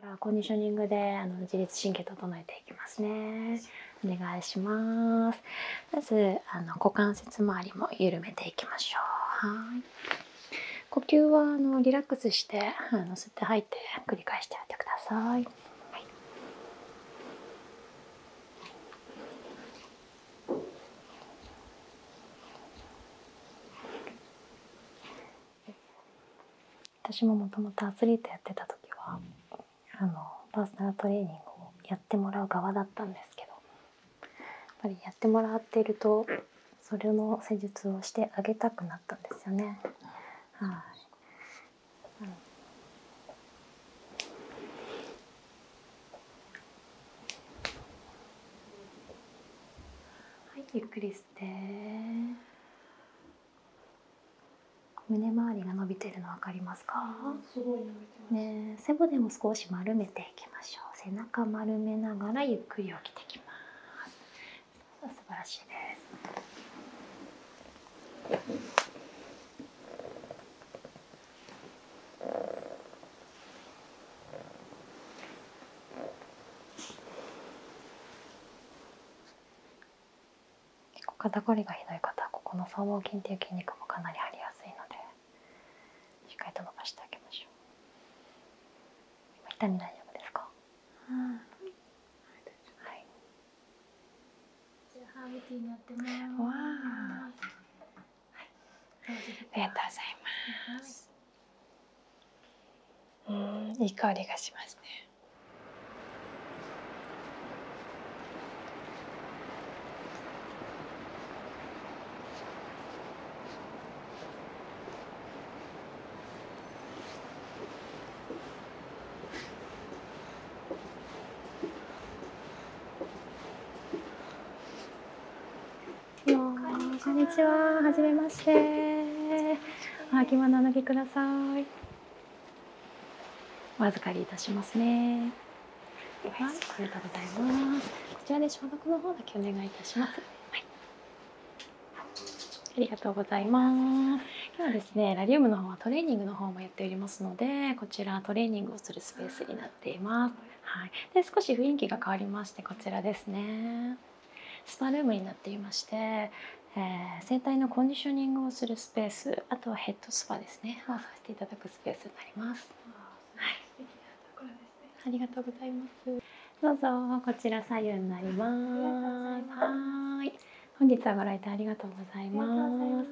からコンディショニングで自律神経整えていきますねお願いしますまず股関節周りも緩めていきましょう呼吸はリラックスしてあのて吐いて繰り返してやってくださはい、私ももともとアスリートやってた時はあのパーソナルトレーニングをやってもらう側だったんですけどやっぱりやってもらっているとそれの施術をしてあげたくなったんですよね。はい、うんゆっくり胸周りが伸びてるの分かりますか背骨も少し丸めていきましょう背中丸めながらゆっくり起きてきます素晴らしいです結構肩こりがひどい方はここの僧帽筋っていう筋肉もかなり張りやすいのでしっかりと伸ばしてあげましょう痛み大丈夫ですかはいはい、ありがとうございますうんいりがしますね。こめまして。あ着物脱ぎくださいお預かりいたしますねはい、ありがとうございますこちらで消毒の方だけお願いいたします、はい、ありがとうございます今はですねラリウムの方はトレーニングの方もやっておりますのでこちらトレーニングをするスペースになっていますはい、で少し雰囲気が変わりましてこちらですねスパルームになっていまして、えー、整体のコンディショニングをするスペースあとはヘッドスパですねをさせていただくスペースになります。ありがとうございます。どうぞこちら左右になります。はい、本日はご来店ありがとうございます。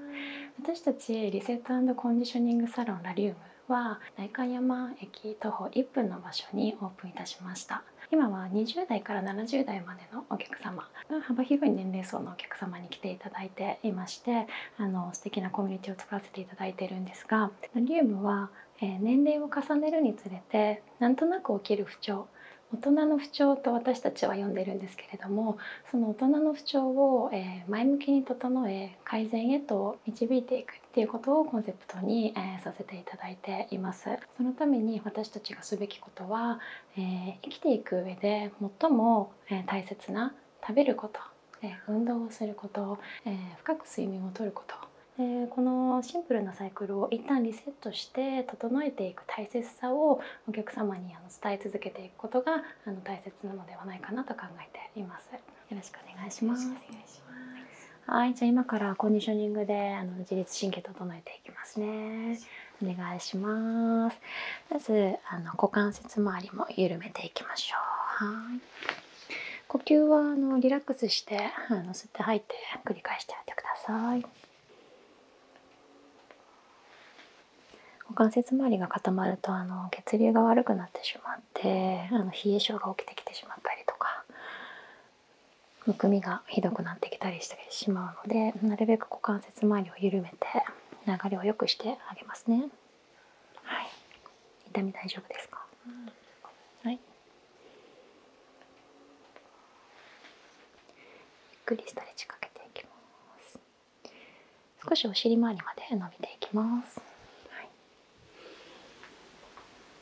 私たちリセットコンディショニングサロンラリウムは代官山駅徒歩1分の場所にオープンいたしました。今は20代から70代までのお客様幅広い年齢層のお客様に来ていただいていましてあの素敵なコミュニティを作らせていただいているんですがリウムは、え年齢を重ねるにつれてなんとなく起きる不調大人の不調と私たちは呼んでるんですけれどもその大人の不調を前向きに整え改善へと導いていくっていうことをコンセプトにさせていただいていますそのために私たちがすべきことは、え生きていく上で最も、え大切な食べること、え運動をすること、え深く睡眠をとること、えー、このシンプルなサイクルを一旦リセットして整えていく大切さをお客様にあの伝え続けていくことがあの大切なのではないかなと考えています。よろしくお願いします。お願いしますはいじゃあ今からコンディショニングであの自律神経整えていきますねお願いしますまずあの股関節周りも緩めていきましょう呼吸はあのリラックスしてあの吸って吐いて繰り返してやってください股関節周りが固まるとあの血流が悪くなってしまってあの冷え症が起きてきてしまったりとかむくみがひどくなってきたりしてしまうのでなるべく股関節周りを緩めて流れをよくしてあげますね。はい、痛み大丈夫ですか、はいゆっくりストレッチかけていきます少しお尻周りまで伸びていきます、はい、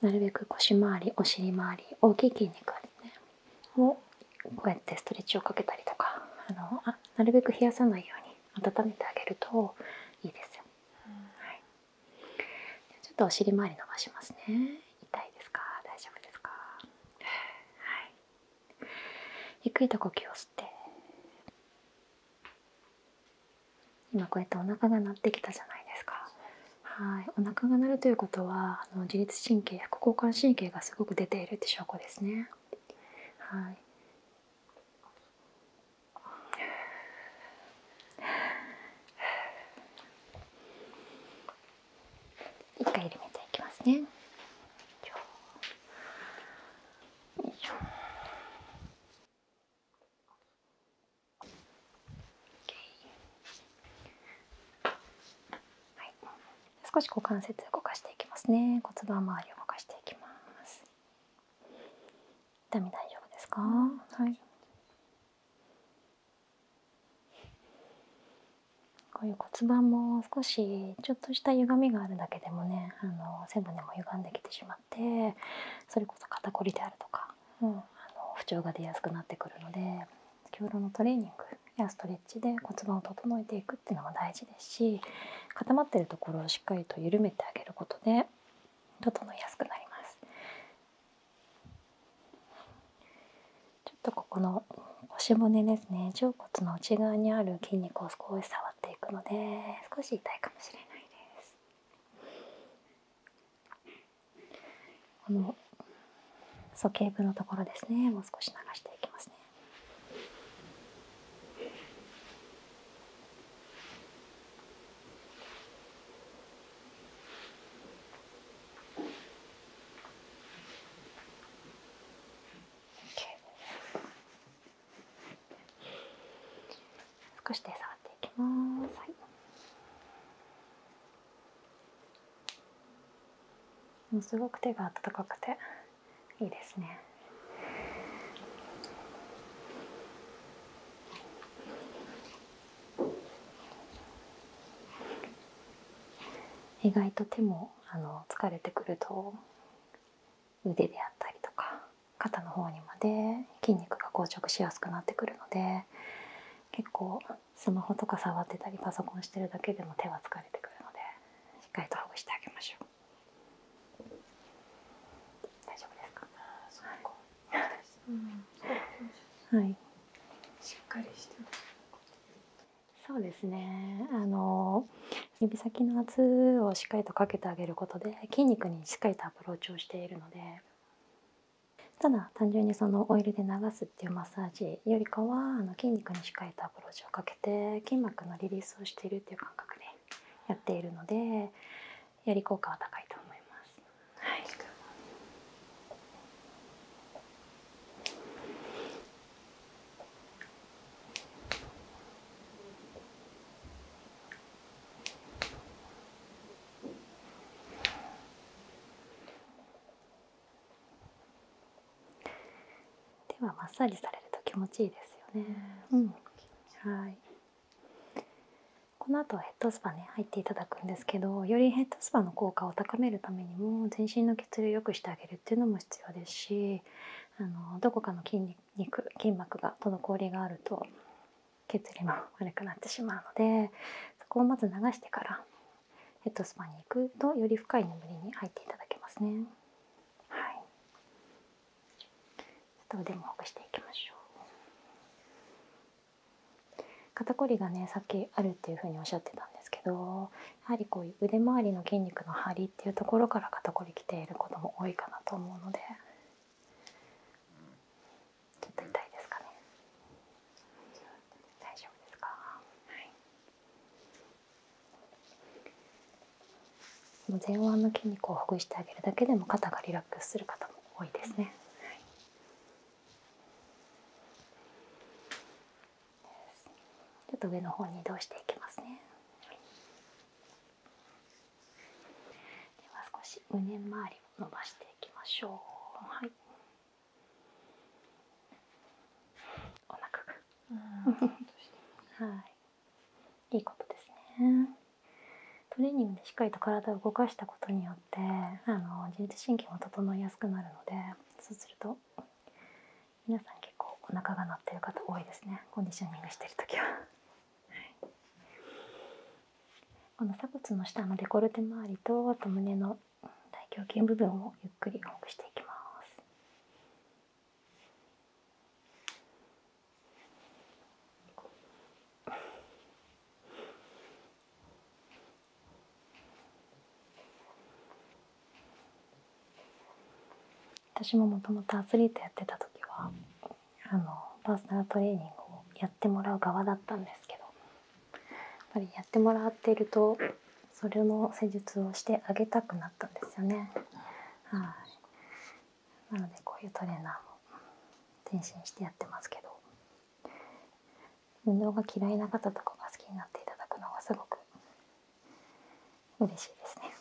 なるべく腰回りお尻周り大きい筋肉を、こうやってストレッチをかけたりとかあのあなるべく冷やさないように温めてあげるといいですよ。はい、ちょっとお尻周り伸ばしますね。痛いですか大丈夫ですか、はい、ゆっくりと呼吸を吸って今こうやってお腹が鳴ってきたじゃないですかはいお腹が鳴るということはあの自律神経副交感神経がすごく出ているって証拠ですねはい一回緩めていきますねはい、少し股関節動かしていきますね骨盤周りを動かしていきます痛み大丈夫ですか、はいこういう骨盤も少しちょっとした歪みがあるだけでもねあの背骨も歪んできてしまってそれこそ肩こりであるとかもうあの不調が出やすくなってくるので先ほどのトレーニングやストレッチで骨盤を整えていくっていうのが大事ですし固まってるところをしっかりと緩めてあげることで整いやすくなります。ちょっとここの腰骨ですね腸骨の内側にある筋肉を少し触っていくので少し痛いかもしれないです。この鼠径部のところですねもう少し流していきますね。少し手触っていきます。もうすごく手が温かくていいですね。意外と手もあの疲れてくると腕であったりとか肩の方にまで筋肉が硬直しやすくなってくるので結構スマホとか触ってたりパソコンしてるだけでも手は疲れてくるのでしっかりとほぐしてあげましょう大丈夫ですかはい、そうですねあの指先の圧をしっかりとかけてあげることで筋肉にしっかりとアプローチをしているのでただ単純にそのオイルで流すっていうマッサージよりかはあの筋肉に仕えたアプローチをかけて筋膜のリリースをしているっていう感覚でやっているのでより効果は高いと思います。はい、ではマッサージされると気持ちいいですよね。うん、はいこの後ヘッドスパね入っていただくんですけどよりヘッドスパの効果を高めるためにも全身の血流を良くしてあげるっていうのも必要ですしあのどこかの筋肉筋膜が滞りがあると血流も悪くなってしまうのでそこをまず流してからヘッドスパに行くとより深い眠りに入っていただけますね。肩こりがねさっきあるっていうふうにおっしゃってたんですけどやはりこういう腕周りの筋肉の張りっていうところから肩こりきていることも多いかなと思うので。ちょっと痛いですかね大丈夫ですかはい前腕の筋肉をほぐしてあげるだけでも肩がリラックスする方も多いですね、ちょっと上の方に移動していきますねでは少し胸周りを伸ばしていきましょうはいお腹がはいいいことですねトレーニングでしっかりと体を動かしたことによってあの自律神経も整いやすくなるのでそうすると皆さん結構お腹が鳴ってる方多いですねコンディショニングしてる時は。はこの鎖骨の下のデコルテ周りとあと胸の大胸筋部分をゆっくりほぐしていきます。私ももともとアスリートやってた時はあのパーソナルトレーニングをやってもらう側だったんですけどやっぱりやってもらっているとそれの施術をしてあげたくなったんですよね。はいなのでこういうトレーナーも転身してやってますけど運動が嫌いな方とかが好きになっていただくのはすごく嬉しいですね。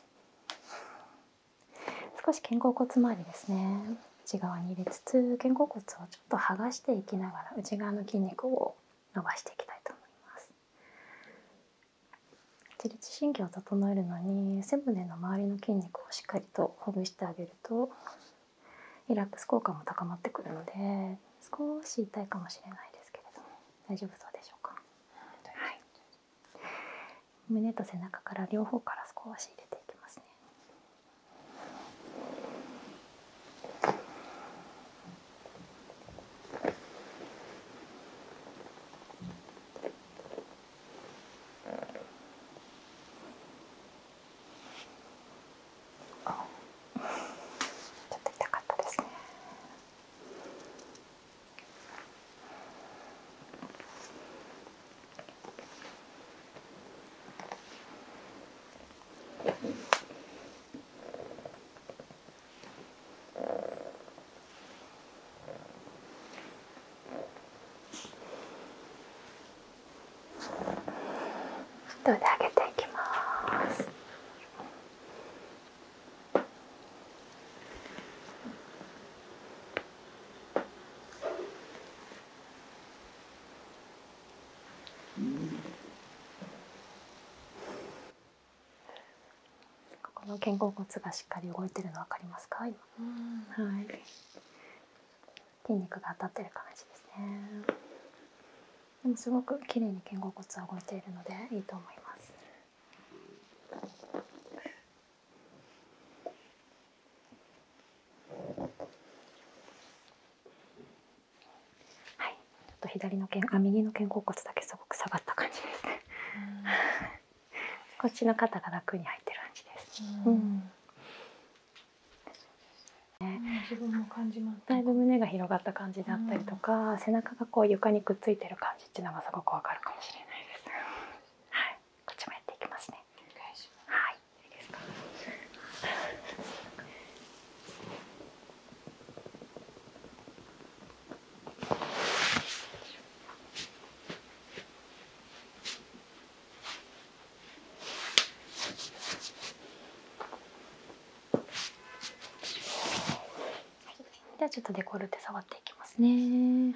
少し肩甲骨周りですね内側に入れつつ肩甲骨をちょっと剥がしていきながら内側の筋肉を伸ばしていきたいと思います自律神経を整えるのに背骨の周りの筋肉をしっかりとほぐしてあげるとリラックス効果も高まってくるので少し痛いかもしれないですけれども大丈夫そうでしょうか、はい、胸と背中から両方から少し入れていきますねちょっと痛かったですね。どうで上げていきます。この肩甲骨がしっかり動いてるの分かりますか今はい、筋肉が当たってる感じですねでもすごく綺麗に肩甲骨は動いているのでいいと思いますはい、ちょっと左の肩あ右の肩甲骨だけすごく下がった感じですね。こっちの肩が楽に入ってる感じです。自分も感じまだいぶ胸が広がった感じだったりとか、背中がこう床にくっついてる感じっていうのがすごくわかるかもしれないです。こっちもやっていきますね。はい。いいですかではちょっとデコルテ触っていきますね。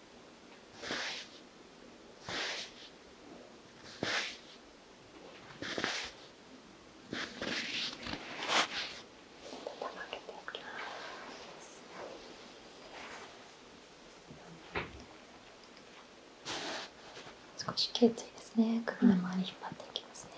少し頸椎ですね首の周り引っ張っていきますね、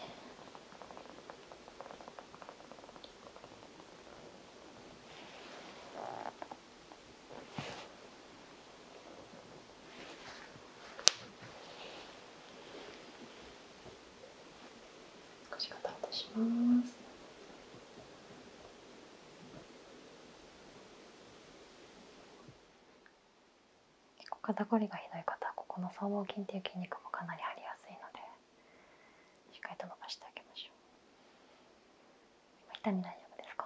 少し肩をとします結構肩こりがひどい方はここの僧帽筋っていう筋肉もかなり張りやすいのでしっかりと伸ばしてあげましょう痛み大丈夫ですか、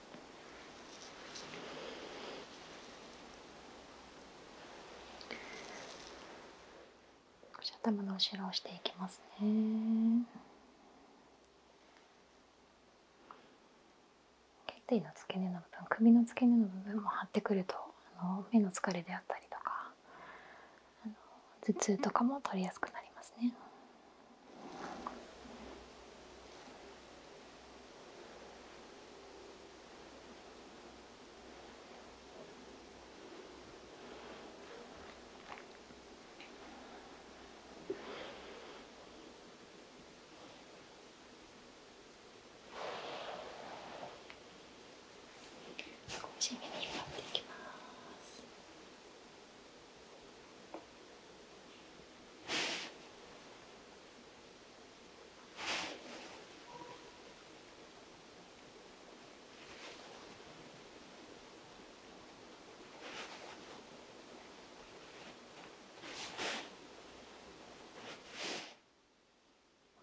頭の後ろしていきますね頸の付け根の部分首の付け根の部分も張ってくるとあの目の疲れであったりとか頭痛とかも取りやすくなりますね。しめに引っ張っていきます。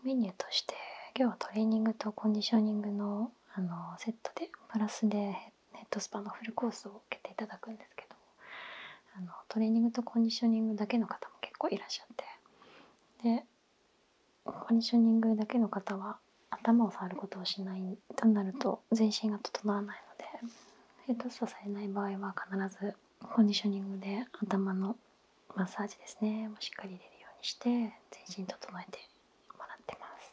メニューとして今日はトレーニングとコンディショニングのセットでプラスでヘッドスパのフルコースを受けていただくんですけども。あのトレーニングとコンディショニングだけの方も結構いらっしゃってでコンディショニングだけの方は頭を触ることをしないとなると全身が整わないのでヘッドスパされない場合は必ずコンディショニングで頭のマッサージですねもしっかり入れるようにして全身整えてもらってます。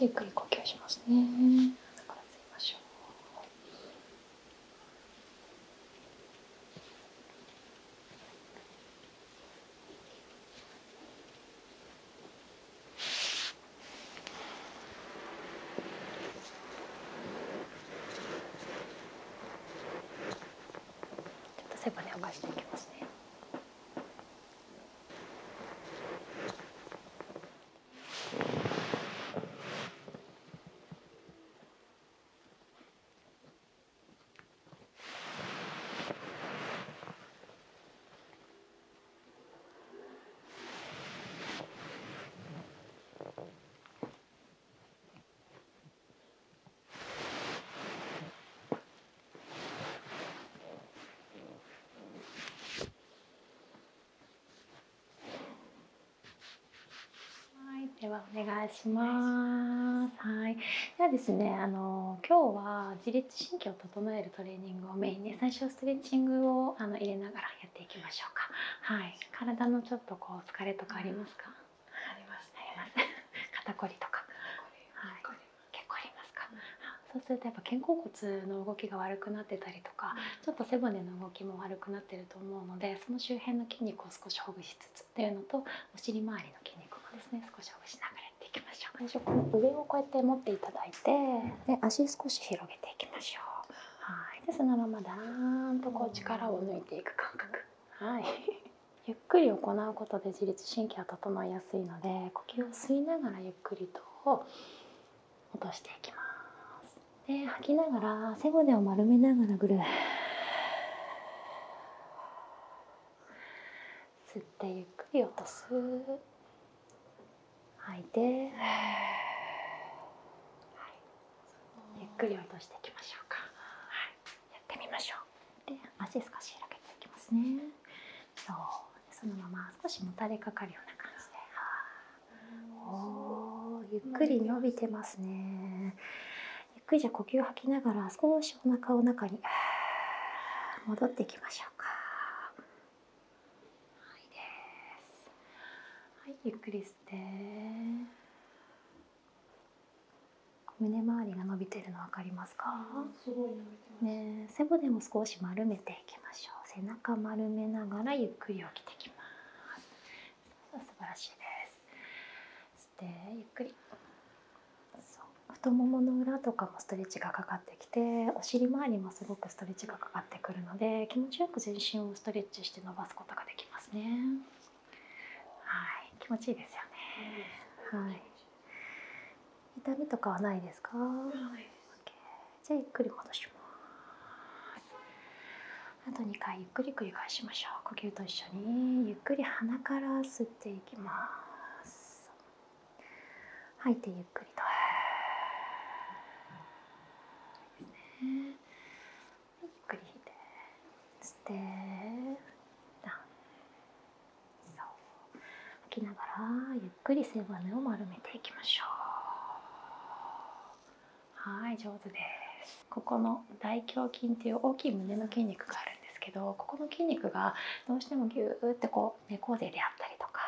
ゆっくり呼吸しますね。ちょっと背骨を返していきますね。はい、ではお願いします。はい、ではですねあの今日は自律神経を整えるトレーニングをメインで最初ストレッチングをあの入れながらやっていきましょうか。はい、体のちょっとこう疲れとかありますか？あります、あります。肩こりとか。はい、結構ありますか、そうするとやっぱ肩甲骨の動きが悪くなってたりとか、ちょっと背骨の動きも悪くなってると思うのでその周辺の筋肉を少しほぐしつっていうのとお尻周りの筋肉もですね少しほぐしながらやっていきましょう最初この上をこうやって持っていただいてで足少し広げていきましょうはいでそのままだーんとこう力を抜いていく感覚 ゆっくり行うことで自律神経は整いやすいので呼吸を吸いながらゆっくりと落としていきますで吐きながら背骨を丸めながらぐるー吸ってゆっくり落とす吐いて、ゆっくり落としていきましょうか、はい、やってみましょうで足少し開けていきますねそうそのまま少しもたれかかるような感じで、おゆっくり伸びてますね、ゆっくりじゃ呼吸吐きながら少しお腹を中に戻っていきましょうか、はい、はいゆっくり吸って胸周りが伸びてるの分かりますか、すごい伸びてね背骨も少し丸めていきましょう背中丸めながらゆっくり起きてきます素晴らしいですしゆっくり太ももの裏とかもストレッチがかかってきてお尻周りもすごくストレッチがかかってくるので気持ちよく全身をストレッチして伸ばすことができますねはい気持ちいいですよねはい痛みとかはないですかじゃあゆっくり戻しますあと2回ゆっくり繰り返しましょう呼吸と一緒にゆっくり鼻からていきます吐いゆっくりとゆっくり吐きながらゆっくり背骨を丸めていきましょうはい上手ですここの大胸筋という大きい胸の筋肉があですけどここの筋肉がどうしてもギューってこう猫背であったりとか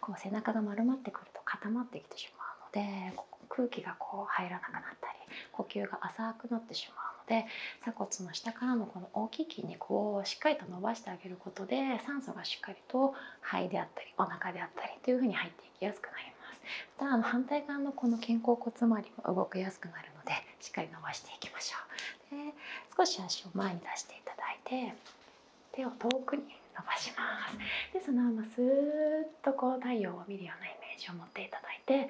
こう背中が丸まってくると固まってきてしまうのでここ空気がこう入らなくなったり呼吸が浅くなってしまうので鎖骨の下からのこの大きい筋肉をしっかりと伸ばしてあげることで酸素がしっかりと肺であったりお腹であったりという風に入っていきやすくなります。またあの反対側のこの肩甲骨周りも動きやすくなるのでしっかり伸ばしていきましょうで少し足を前に出していただいて手を遠くに伸ばしますでそのまますーっとこう太陽を見るようなイメージを持っていただいて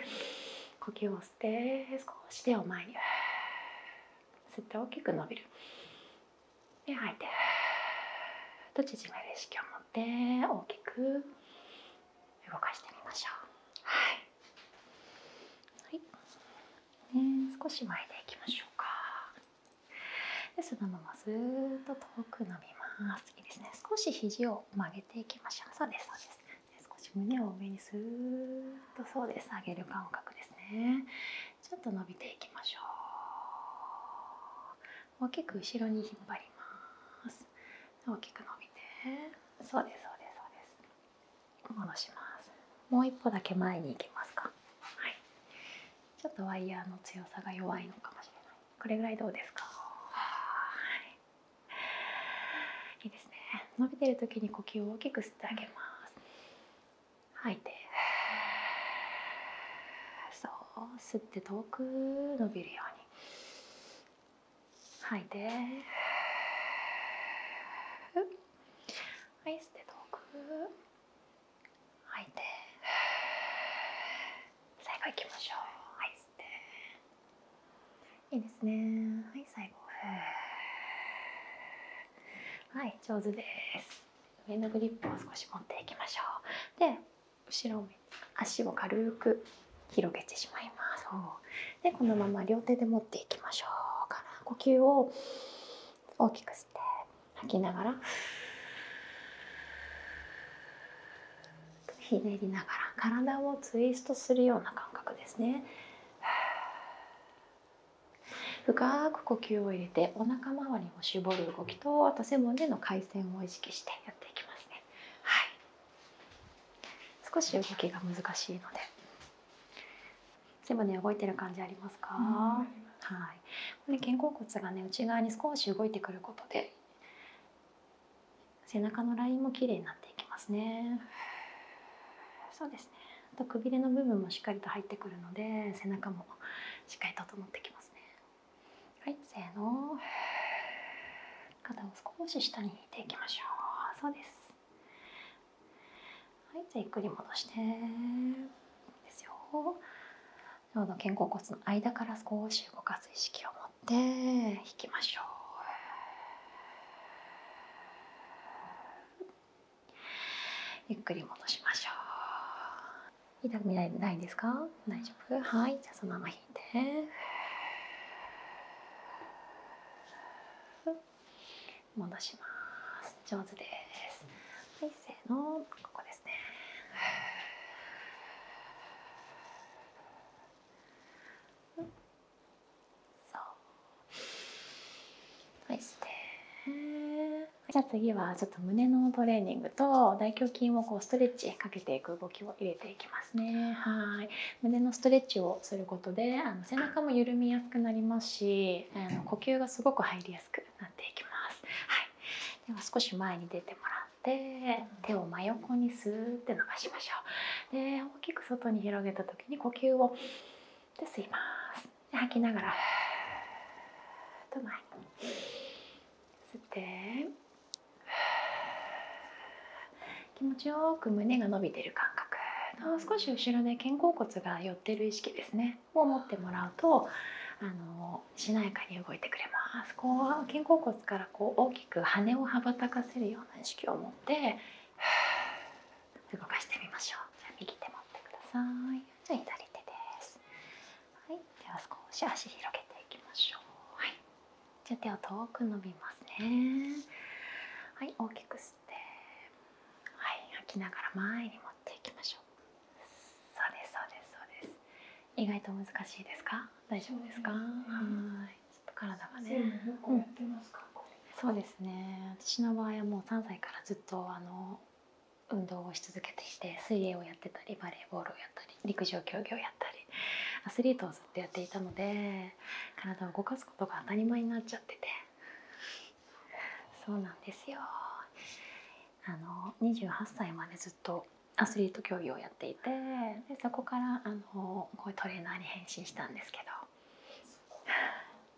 呼吸を吸って少し手を前に吸って大きく伸びるで吐いてと縮める意識を持って大きく動かしてみましょう。はいはい少し前でいきましょうかでそのままずっと遠く伸びますいいですね少し肘を曲げていきましょうそうですそうです少し胸を上にスーッとそうです上げる感覚ですねちょっと伸びていきましょう大きく後ろに引っ張ります大きく伸びてそうですそうですそうです戻しますもう一歩だけ前に行きますかちょっとワイヤーの強さが弱いのかもしれないこれぐらいどうですかいいですね伸びてる時に呼吸を大きく吸ってあげます吐いてそう吸って遠く伸びるように吐いはい捨て遠く吐い最後いきましょういいですねはい最後はい上手です上のグリップを少し持っていきましょうで後ろ足を軽く広げてしまいますでこのまま両手で持っていきましょうか呼吸を大きくして吐きながらひねりながら体をツイストするような感覚ですね深く呼吸を入れてお腹周りを絞る動きとあと背骨の回線を意識してやっていきますね少し動きが難しいので背骨動いてる感じありますか、はいこれ肩甲骨がね内側に少し動いてくることで背中のラインも綺麗になっていきますねそうですねあとくびれの部分もしっかりと入ってくるので背中もしっかり整ってきますねはいせーの肩を少し下に引いていきましょうそうですはいじゃあゆっくり戻してですよちょうど肩甲骨の間から少し動かす意識を持って引きましょうゆっくり戻しましょう痛くないですか大丈夫はいじゃあそのまま引いて戻します上手ですはいせーのここですねじゃあ次はちょっと胸のトレーニングと大胸筋をこうストレッチかけていく動きを入れていきますねはい胸のストレッチをすることであの背中も緩みやすくなりますしあの呼吸がすごく入りやすくなっていきます。はい、では少し前に出てもらって手を真横にスーッて伸ばしましょう。で大きく外に広げた時に呼吸をで吸います。で吐きながらふっと前に気持ちよく胸が伸びてる感覚少し後ろで肩甲骨が寄ってる意識ですねを持ってもらうとあのしなやかに動いてくれますこう肩甲骨からこう大きく羽を羽ばたかせるような意識を持って動かしてみましょう右手持ってください左手ですはいでは少し足広げていきましょうはいじゃ手を遠く伸びますねはいはい吐きながら前に持っていきましょうそうですそうですそうです意外と難しいですか大丈夫ですか、ね、はいちょっと体がね、うん、そうですね私の場合はもう3歳からずっとあの運動をし続けていて水泳をやってたりバレーボールをやったり陸上競技をやったりアスリートをずっとやっていたので体を動かすことが当たり前になっちゃっててそうなんですよあの28歳までずっとアスリート競技をやっていてでそこからあのこういうトレーナーに変身したんですけ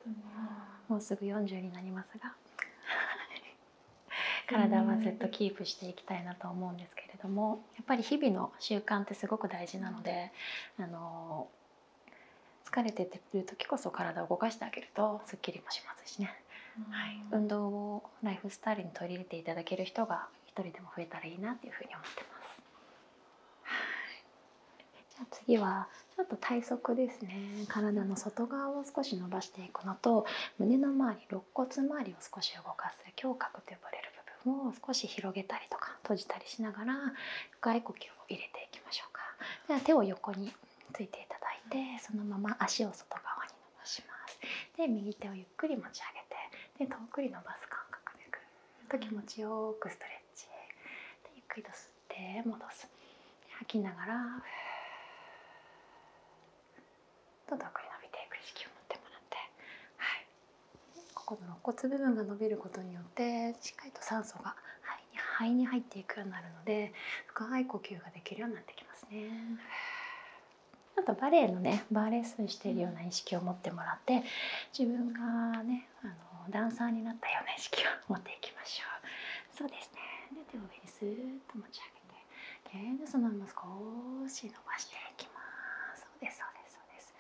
どもうすぐ40になりますが 体はずっとキープしていきたいなと思うんですけれどもやっぱり日々の習慣ってすごく大事なのであの疲れててる時こそ体を動かしてあげるとすっきりもしますしね、はい、運動をライフスタイルに取り入れていただける人が一人でも増えたらいいなっていうふうに思ってます。はい、じゃあ次はちょっと体側ですね体の外側を少し伸ばしていくのと胸の周り肋骨周りを少し動かす胸郭と呼ばれる部分を少し広げたりとか閉じたりしながら深い呼吸を入れていきましょうかでは手を横についていただいてそのまま足を外側に伸ばしますで右手をゆっくり持ち上げてで遠くに伸ばす感覚でぐっと気持ちよくストレッチゆっくりと吸って戻す吐きながらと遠くに伸びていく意識を持ってもらってはいここの肋骨部分が伸びることによってしっかりと酸素が肺に入っていくようになるので深い呼吸ができるようになってきますね。あとバレエのねバーレッスンしているような意識を持ってもらって自分がねあのダンサーになったような意識を持っていきましょう。そうですねで手を上にスーッと持ち上げてそのまま少し伸ばしていきますそうですそうです。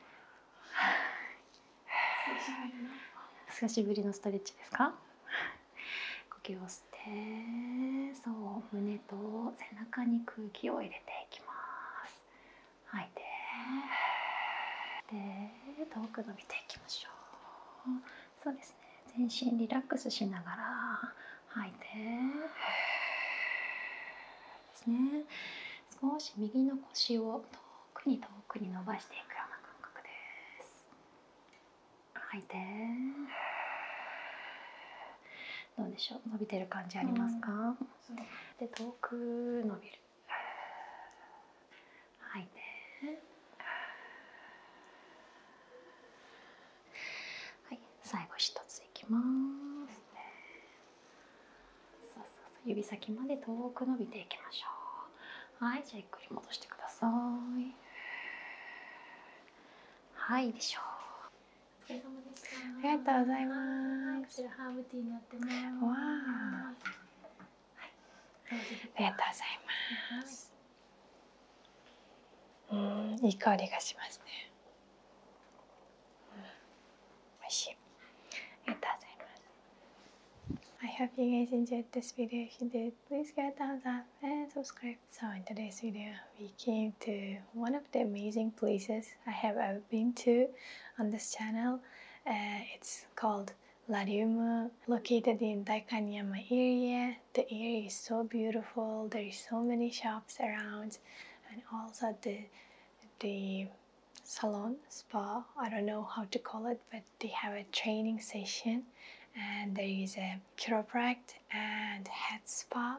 久しぶりのストレッチですか呼吸をしてそう胸と背中に空気を入れていきます吐いで遠く伸びていきましょうそうですね全身リラックスしながら吐いてですね少し右の腰を遠くに遠くに伸ばしていくような感覚です吐いどうでしょう伸びてる感じありますか、で遠く伸びる吐いはい最後一ついきます、指先まで遠く伸びていきましょうはいじゃあゆっくり戻してくださいはいでしょうありがとうございますありがとうございます、うんいい香りがしますね worship. It I hope you guys enjoyed this video. If you did, please give a thumbs up and subscribe. So in today's video, we came to one of the amazing places I have ever been to on this channel. Uh, it's called Lariumu, located in Daikanyama area. The area is so beautiful. There is so many shops around, and also the the salon, spa, I don't know how to call it, but they have a training session and there is a chiropractic and head spa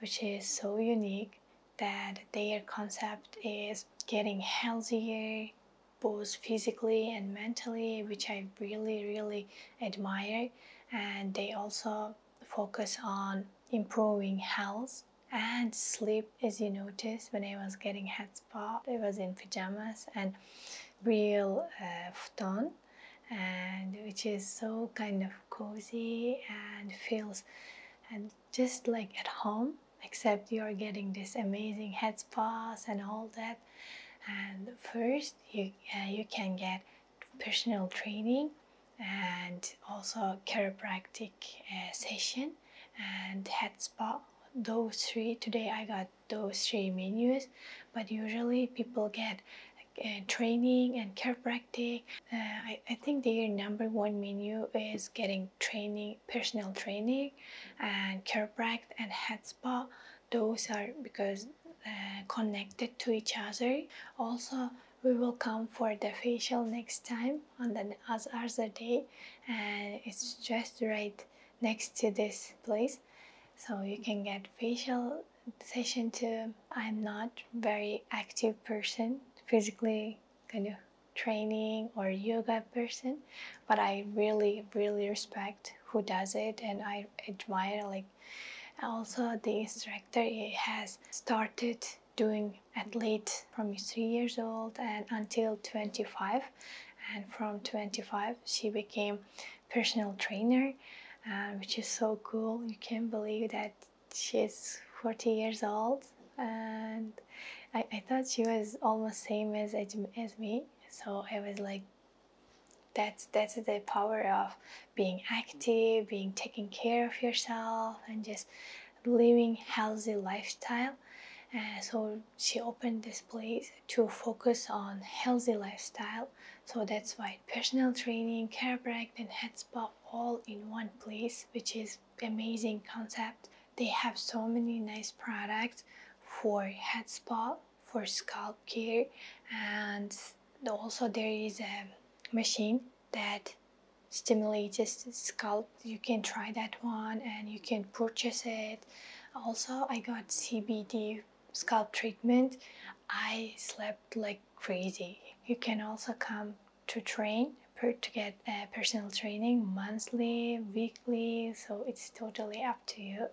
which is so unique that their concept is getting healthier both physically and mentally which I really really admire and they also focus on improving health and sleep as you notice, when I was getting head spa, I was in pajamas and real uh, futon, and which is so kind of cozy and feels and just like at home, except you're getting this amazing head spas and all that. And first, you uh, you can get personal training and also chiropractic uh, session and head spa those three today i got those three menus but usually people get uh, training and care practice. Uh, I, think their number one menu is getting training personal training and care practice and head spa those are because uh, connected to each other also we will come for the facial next time on the other day and it's just right next to this place so you can get facial session too i'm not very active person physically kind of training or yoga person but i really really respect who does it and i admire like also the instructor has started doing at least from three years old and until 25 and from 25 she became personal trainer uh, which is so cool you can't believe that she's 40 years old and I, thought she was almost same as, as me so it was like that's that's the power of being active being taking care of yourself and just living healthy lifestyle uh, so she opened this place to focus on healthy lifestyle so that's why personal training care break and head spa all in one place which is amazing concept they have so many nice products for head spa for scalp care and also there is a machine that stimulates the scalp you can try that one and you can purchase it also i got cbd scalp treatment i slept like crazy you can also come to train to get uh, personal training monthly weekly so it's totally up to you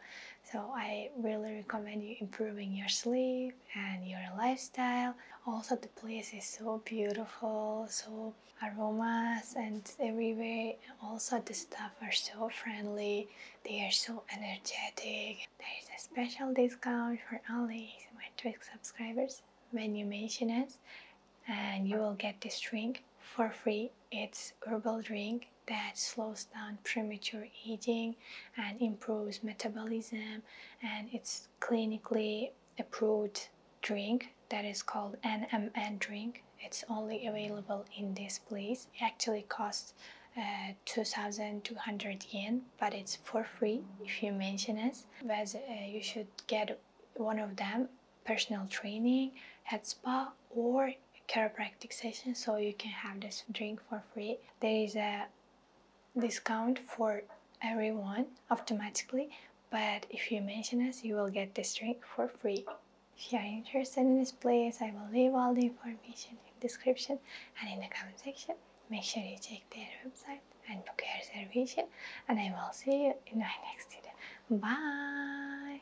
so i really recommend you improving your sleep and your lifestyle also the place is so beautiful so aromas and everywhere. Also, the staff are so friendly, they are so energetic. There is a special discount for all my Twix subscribers when you mention us, and you will get this drink for free. It's herbal drink that slows down premature aging and improves metabolism, and it's clinically approved drink that is called NMN drink. It's only available in this place. It actually costs uh, 2200 yen, but it's for free if you mention us. But uh, you should get one of them personal training, head spa, or chiropractic session so you can have this drink for free. There is a discount for everyone automatically, but if you mention us, you will get this drink for free. If you are interested in this place, I will leave all the information in description and in the comment section. Make sure you check their website and book your reservation. And I will see you in my next video. Bye!